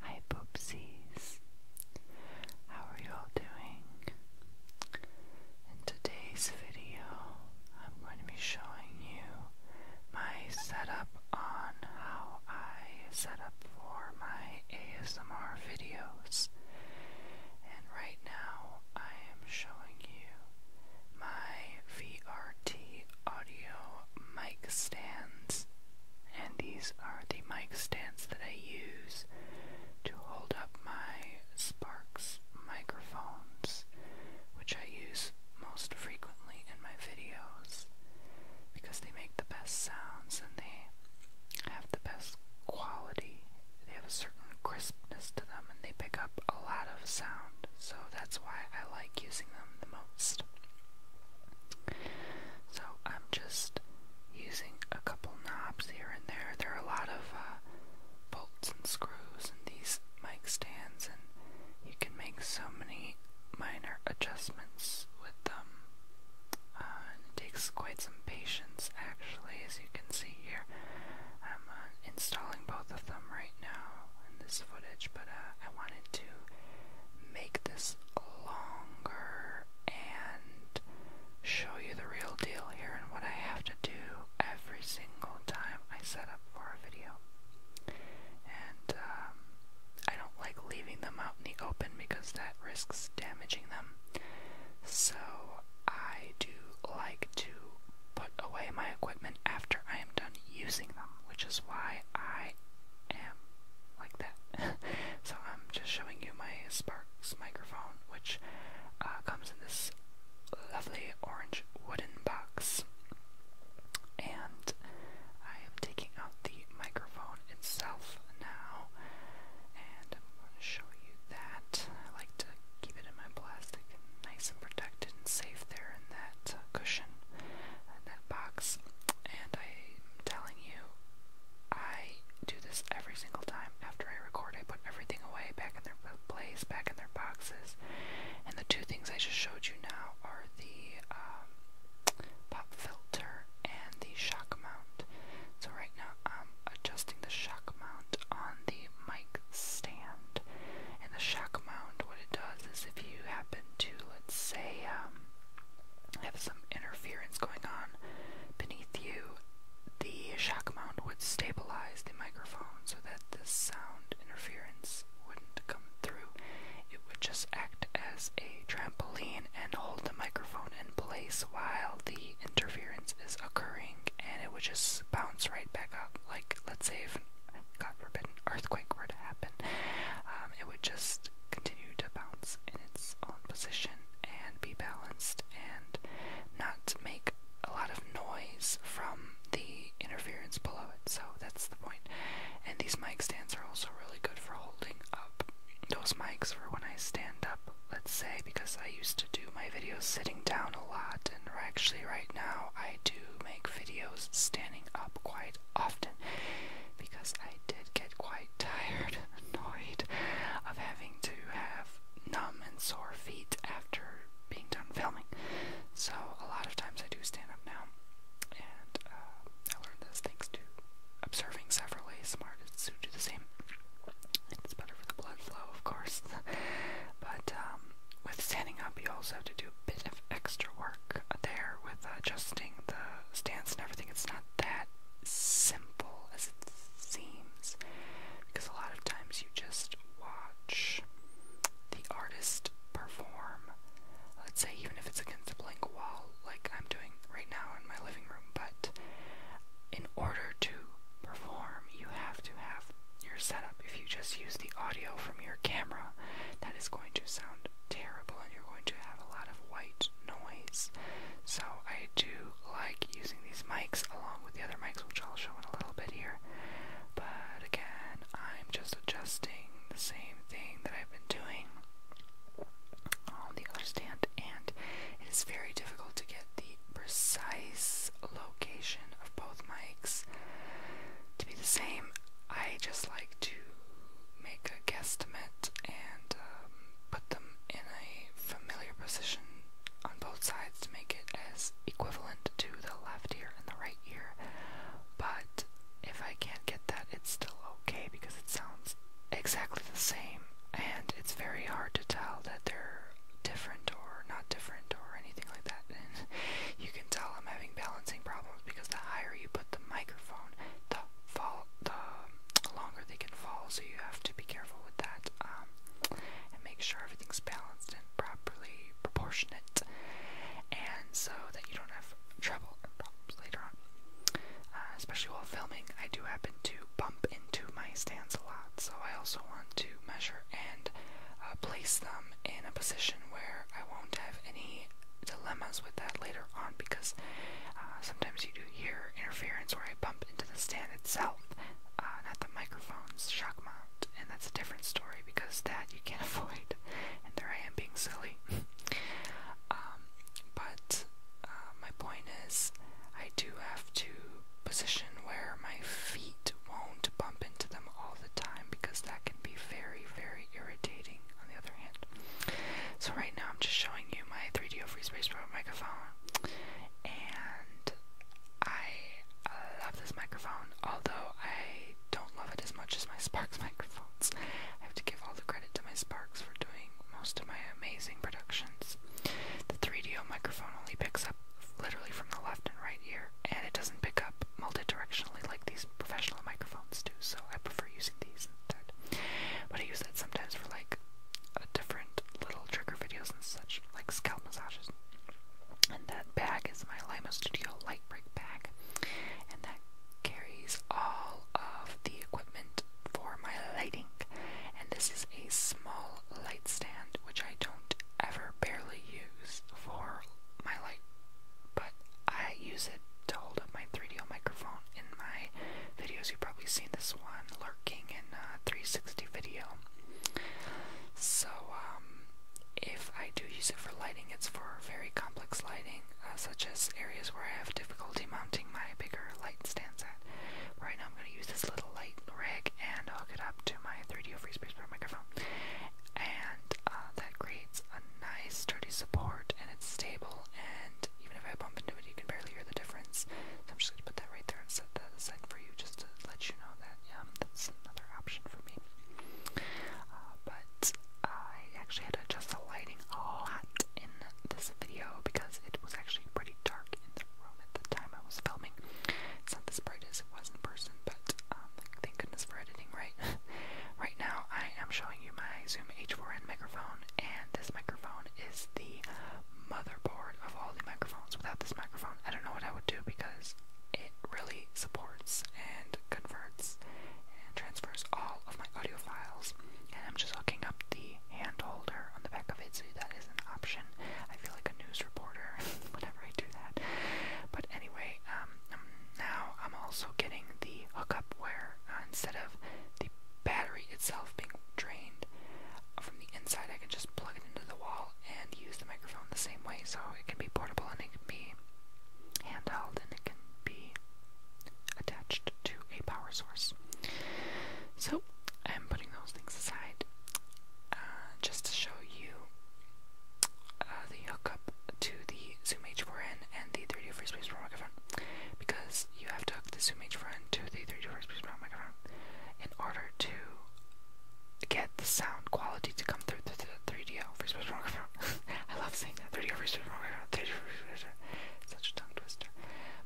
Hi Poopsies, how are you all doing? In today's video, I'm going to be showing you my setup on how I set up for my ASMR videos. And right now, I am showing you my VRT audio mic stands and these are the mic stands that I use to hold up my Sparks microphones, which I use most frequently in my videos because they make the best sounds and they have the best quality. They have a certain crispness to them and they pick up a lot of sound, so that's why I like using them the most. So I'm just using a couple knobs here and there. There are a lot of uh, bolts and screws in these mic stands, and you can make so many minor adjustments with them. Uh, and it takes quite some patience, actually, as you can see here. I'm uh, installing both of them right now in this footage, but uh, I wanted to make this longer and show you the real deal here and what I have to do every single time I set up for a video. And um, I don't like leaving them out in the open because that risks damaging them. So I do like to put away my equipment after I am done using them, which is why I am like that. so I'm just showing you my Sparks microphone, which uh, comes in this lovely orange wooden box. And I am taking out the microphone itself now, and I'm going to show you that. I like to keep it in my plastic, nice and protected and safe there in that uh, cushion, in that box. And I'm telling you, I do this every single time after I record. I put everything away back in their place, back in their boxes. And the two things I just showed you now are the um, pop filter and the shock mount. So right now I'm adjusting the shock mount on the mic stand. And the shock mount, what it does is if you happen to, let's say, um, have some interference going on beneath you, the shock mount would stabilize the microphone so that the sound interference wouldn't come through. It would just act as a trampoline and hold the microphone in place while the interference is occurring, and it would just bounce right back up. Like, let's say if, God forbid, an earthquake were to happen, um, it would just continue to bounce in its own position and be balanced and not make a lot of noise from the interference below it. So that's the point. And these mic stands are also really good for holding up those mics for when I stand up, let's say, because I used to do my videos sitting down a lot, and actually, right now, I do make videos standing up quite often because I I did get quite tired annoyed of having to have numb and sore feet after being done filming. So a lot of times I do stand up now, and uh, I learned this thanks to observing several ASMR artists who do the same. It's better for the blood flow, of course. but um, with standing up, you also have to do a bit of extra work there with adjusting the stance and everything. It's not that simple as it seems because a lot of times you just watch the artist perform. Let's say, even if it's against a blank wall, like I'm doing right now in my living room, but in order to perform, you have to have your setup. If you just use the audio from your camera, that is going to sound terrible and you're going to have a lot of white noise. So I do like using these mics along with the other mics, which I'll show in a little bit here. But again, I'm just adjusting the same thing that I've been doing on the other stand, and it is very difficult to get the precise location of both mics to be the same. I just like to make a a and um, put them in a familiar position on both sides to make it as equivalent to the left ear and the right ear. But if I can't get that, it's still okay because it sounds exactly the same, and it's very hard to tell that they're different or not different or anything like that. you can tell I'm having balancing problems because the higher you put the microphone, the fall the longer they can fall, so you have to be careful with that um, and make sure everything's balanced and properly proportionate, and so that you don't have trouble and problems later on. Uh, especially while filming, I do happen to bump into my stands a lot, so I also want to measure and uh, place them in a position where I won't have any dilemmas with that later on because uh, sometimes you do hear interference where I bump into the stand itself, uh, not the microphone's shock mount, and that's a different story because that you can't avoid. And there I am being silly. um, but uh, my point is, I do have to position where my feet won't bump into them all the time because that can be very, very irritating. On the other hand, so right now I'm just showing you my 3DO Free Space Pro microphone, and I love this microphone, although I don't love it as much as my Sparks microphones. I have to give all the credit to my Sparks for doing most of my amazing productions. The 3DO microphone only picks up literally from the left and right ear, and it doesn't pick up multi-directionally like these professional microphones do, so I prefer using these but I use that sometimes for like different little trigger videos and such, like scalp massages. And that bag is my Limo Studio Light Break bag, and that carries all of the equipment for my lighting. And this is a small light stand, which I don't ever barely use for my light, but I use it to hold up my 3 d microphone in my videos, you've probably seen this one lurking in uh, 360 video. So, um, if I do use it for lighting, it's for very complex lighting, uh, such as areas where I have difficulty mounting my bigger light stands at. Right now, I'm going to use this little light rig and hook it up to my 3DO FreeSpace Pro microphone, and uh, that creates a nice, sturdy support, and it's stable and even if I bump into it, you can barely hear the difference. So I'm just going to put that right there and set that aside for you just to let you know that yeah, um, that's another option for me. Uh, but I actually had to adjust the lighting a lot in this video because it was actually pretty dark in the room at the time I was filming. It's not as bright as it was in person, but um, thank goodness for editing, right? right now, I am showing you my Zoom H4n microphone, and this microphone is the motherboard of all the microphones. Without this microphone, I don't know what I would do because it really supports and converts and transfers all of my audio files. And I'm just hooking up the hand holder on the back of it so that is an option. I feel like a news reporter whenever I do that. But anyway, um, now I'm also getting the hookup where uh, instead of the battery itself being drained from the inside, I can just plug it into the wall and use the microphone the same way. So it can be portable and it can be handheld and it can be attached to a power source. So I'm putting those things aside uh, just to show you uh, the hookup to the Zoom H4n and the 3D Free Space microphone because you have to hook the zoom H n to the 3D workspace microphone in order to get the sound quality to come through the, the 3D workspace microphone. I love saying that 3D workspace microphone. 3D microphone. Such a tongue twister.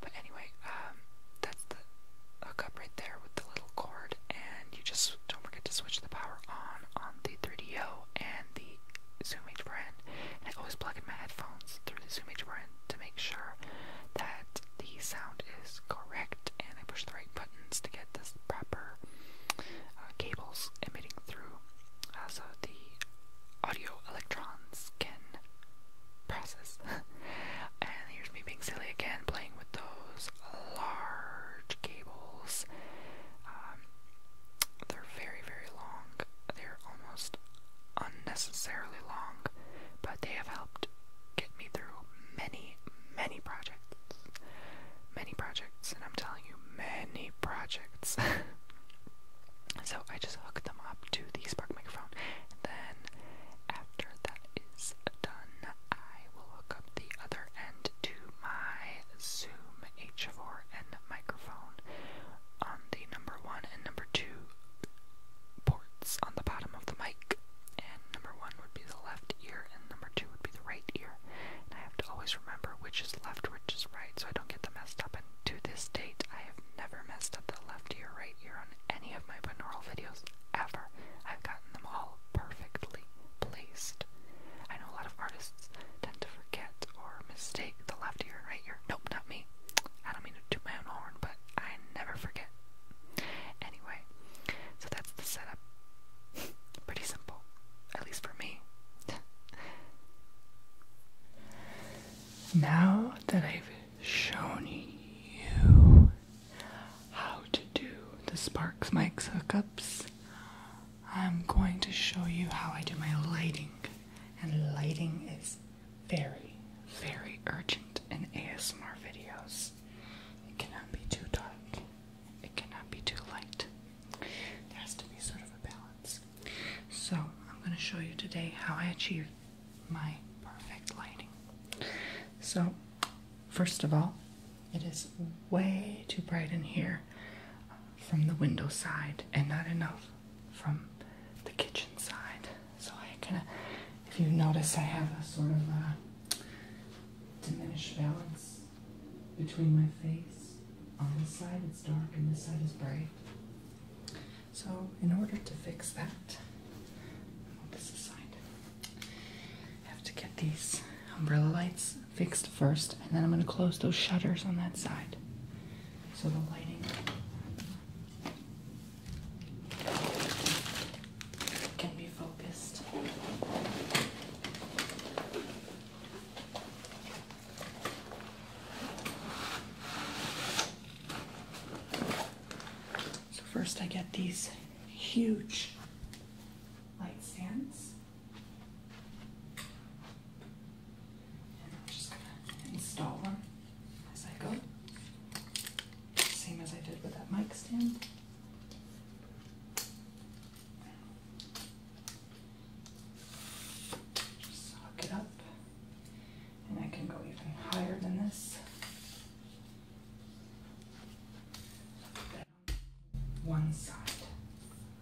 But anyway, um, that's the up right there with the little cord, and you just don't forget to switch the power on on the 3DO and the Zoom H n And I always plug in my headphones through the Zoom H n to make sure that the sound is correct and I push the right buttons to get the proper uh, cables emitting through uh, so the audio electrons can process. and here's me being silly again, playing with those large cables. Um, they're very, very long. They're almost unnecessarily long, but they have helped get me through many, many projects. Many projects, and I'm telling you, many projects. so I just hook them up to the Spark microphone, and then after that is done, I will hook up the other end to my Zoom H4N microphone on the number one and number two ports on the bottom of the mic. And number one would be the left ear, and number two would be the right ear. And I have to always remember which is left, which is right, so I don't get them messed up. And to this date, I have never messed up the left ear, right ear on any of my binaural videos ever. I've gotten them all perfectly placed. I know a lot of artists tend to forget or mistake the left ear and right ear. Nope, not me. I don't mean to do my own horn, but I never forget. Anyway, so that's the setup. Pretty simple, at least for me. now that I've shown you how to do the Sparks Mics hookups, I'm going to show you how I do my lighting. And lighting is very, very urgent in ASMR videos. It cannot be too dark. It cannot be too light. There has to be sort of a balance. So, I'm going to show you today how I achieve my perfect lighting. So, first of all, it is way too bright in here from the window side and not enough from the kitchen side. So I kind of, if you notice, I have a sort of a uh, diminished balance between my face. On this side it's dark and this side is bright. So in order to fix that, oh, this aside. I have to get these umbrella lights fixed first, and then I'm going to close those shutters on that side. So the lighting can be focused. So first I get these huge light stands. And I'm just going to install them as I go same as I did with that mic stand. hook it up, and I can go even higher than this. One side,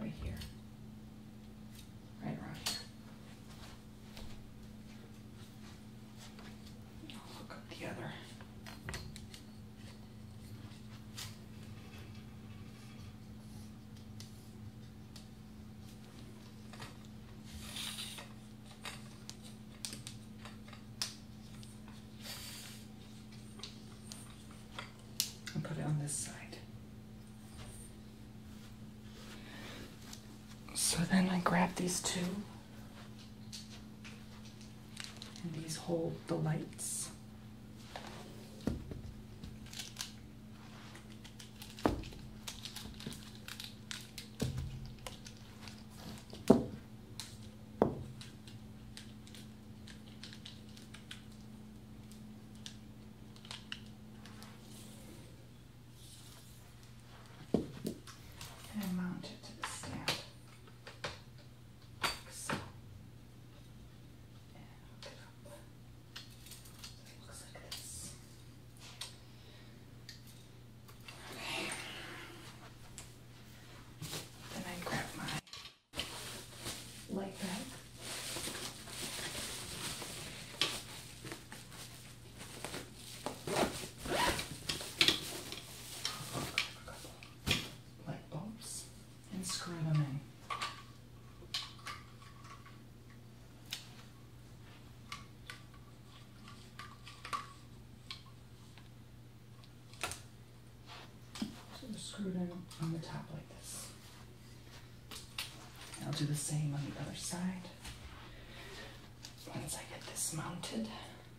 right here, right around here. Look at the other. And put it on this side. So then I grab these two. And these hold the lights and mount it to the stand. looks like this. Okay. Then I grab my light bag light bulbs and screw them in. So they're on the top like this. I'll do the same on the other side. Once I get this mounted,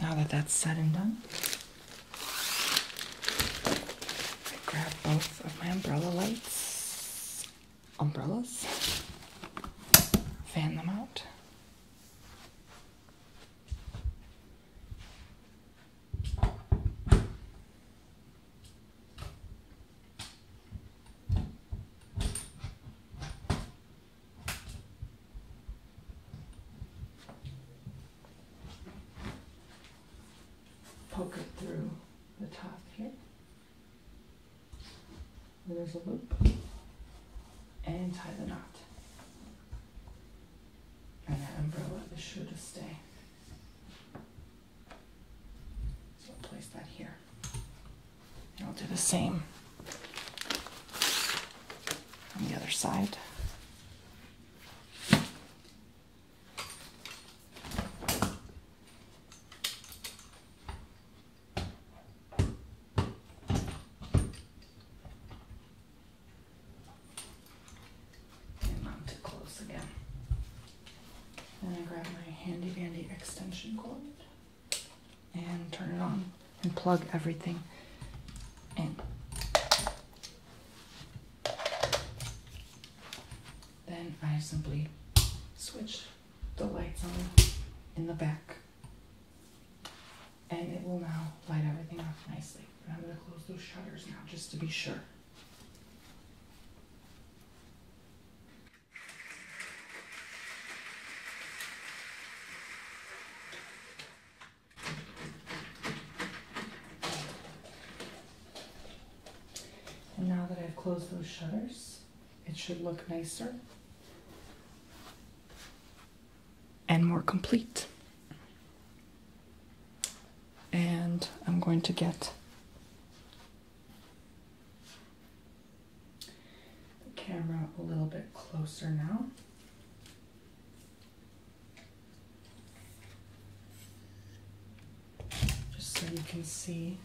Now that that's said and done, I grab both of my umbrella lights, umbrellas, fan them out poke it through the top here. there's a loop. And tie the knot. And that umbrella is sure to stay. So I'll place that here. And I'll do the same on the other side. And not too close again. And I grab my handy dandy extension cord and turn it on and plug everything in. Then I simply switch the lights on in the back and it will now light everything up nicely. I'm going to close those shutters now just to be sure. And now that I've closed those shutters, it should look nicer and more complete. And I'm going to get the camera a little bit closer now. Just so you can see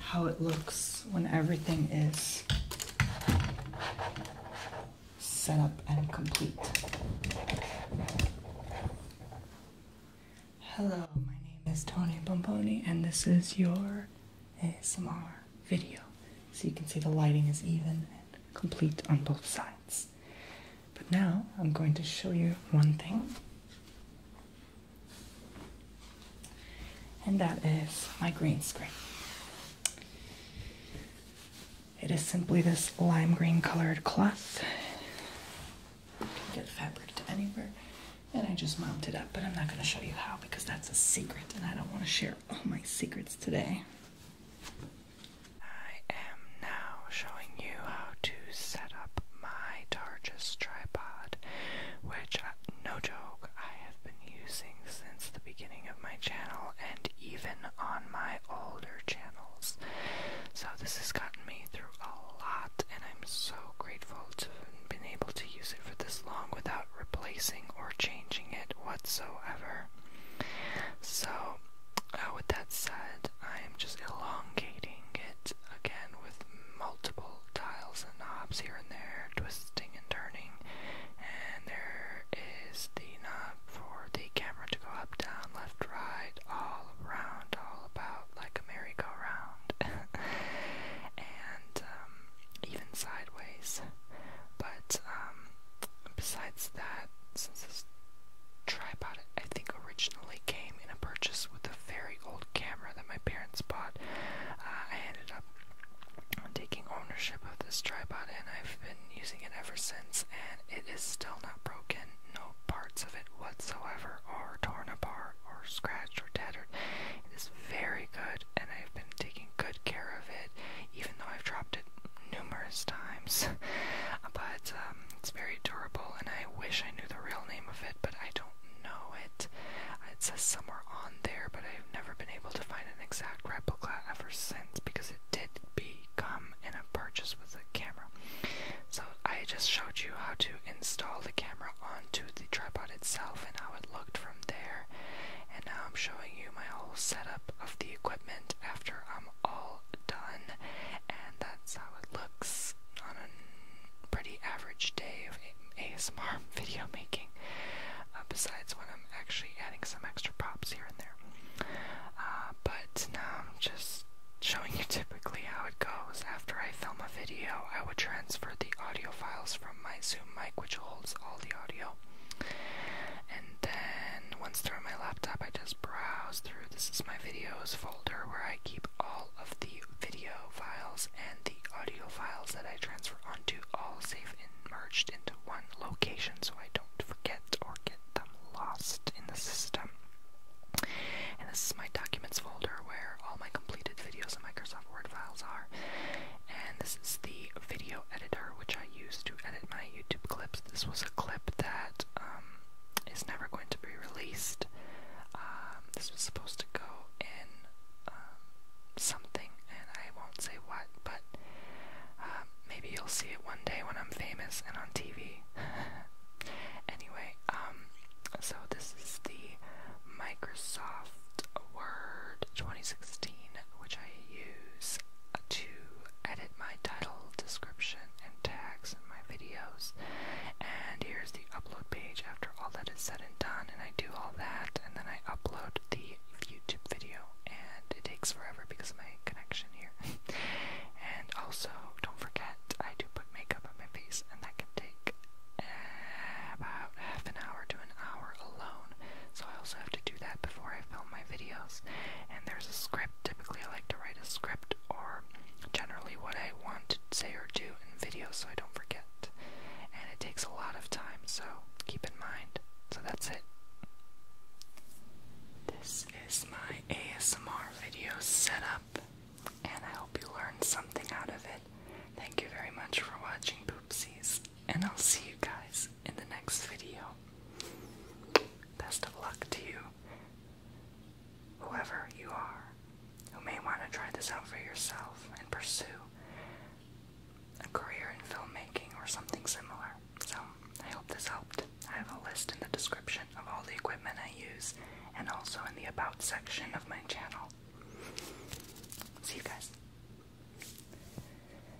how it looks when everything is set up and complete. Hello, my name is Tony Pomponi, and this is your ASMR video. So you can see the lighting is even and complete on both sides. But now I'm going to show you one thing. And that is my green screen. It is simply this lime green colored cloth. You can get fabric anywhere. And I just it up, but I'm not going to show you how because that's a secret and I don't want to share all my secrets today. I am now showing you how to set up my Targus tripod, which, uh, no joke, I have been using since the beginning of my channel and even on my older channels. So this has gotten me through a lot, and I'm so grateful to have been able to use it for this long without replacing or changing it whatsoever. So, uh, with that said, I am just elongating it again with multiple dials and knobs here and there, twisting and turning. And there is the knob for the camera to go up, down, left, right, all around, all about, like a merry-go-round. and um, even sideways. But um, besides that, since this tripod, I think, originally came in a purchase with a very old camera that my parents bought, uh, I ended up taking ownership of this tripod and I've been using it ever since, and it is still not broken. No parts of it whatsoever are torn apart or scratched or tattered. It is very good and I've been taking good care of it, even though I've dropped it numerous times. but um, it's very durable, and I wish I knew the real name of it, but I don't know it. It says somewhere on there, but I've never been able to find an exact replica ever since because it did become in a purchase with the camera. So I just showed you how to install the camera onto the tripod itself and how it looked from there and now I'm showing you my whole setup of the equipment after I'm all done, and that's how it looks on a pretty average day of ASMR video making, uh, besides when I'm actually adding some extra props here and there. Uh, but now I'm just showing you typically how it goes. After I film a video, I would transfer the audio files from my Zoom mic, which holds all the audio, and then once through my laptop, I just browse through. This is my videos folder where I keep all of the video files and the audio files that I transfer onto, all safe and merged into one location so I don't forget or get them lost in the system. And this is my documents folder where all my completed videos and Microsoft Word files are. And this is the video editor, which I use to edit my YouTube clips. This was a clip that um, is never going to be released. Um, this was supposed to go in um, something, and I won't say what, but maybe you'll see it one day when I'm famous and on TV. anyway, so this is the Microsoft Word 2016, which I use to edit my title, description, and tags in my videos. And here's the upload page after all that is said and done. And I do all that, and then I upload the YouTube video. And it takes forever because of my connection here. and also, don't forget, I do put makeup on my face, and that can take eh, about half an hour to an hour alone so I also have to do that before I film my videos. And there's a script. Typically, I like to write a script or generally what I want to say or do in videos so I don't forget. And it takes a lot of time, so keep in mind. So that's it. This is my ASMR video setup, and I hope you learned something out of it. Thank you very much for watching Poopsies, and I'll see you guys in the next video. Best of luck to you, whoever you are, who may want to try this out for yourself and pursue a career in filmmaking or something similar. So, I hope this helped. I have a list in the description of all the equipment I use and also in the About section of my channel. See you guys.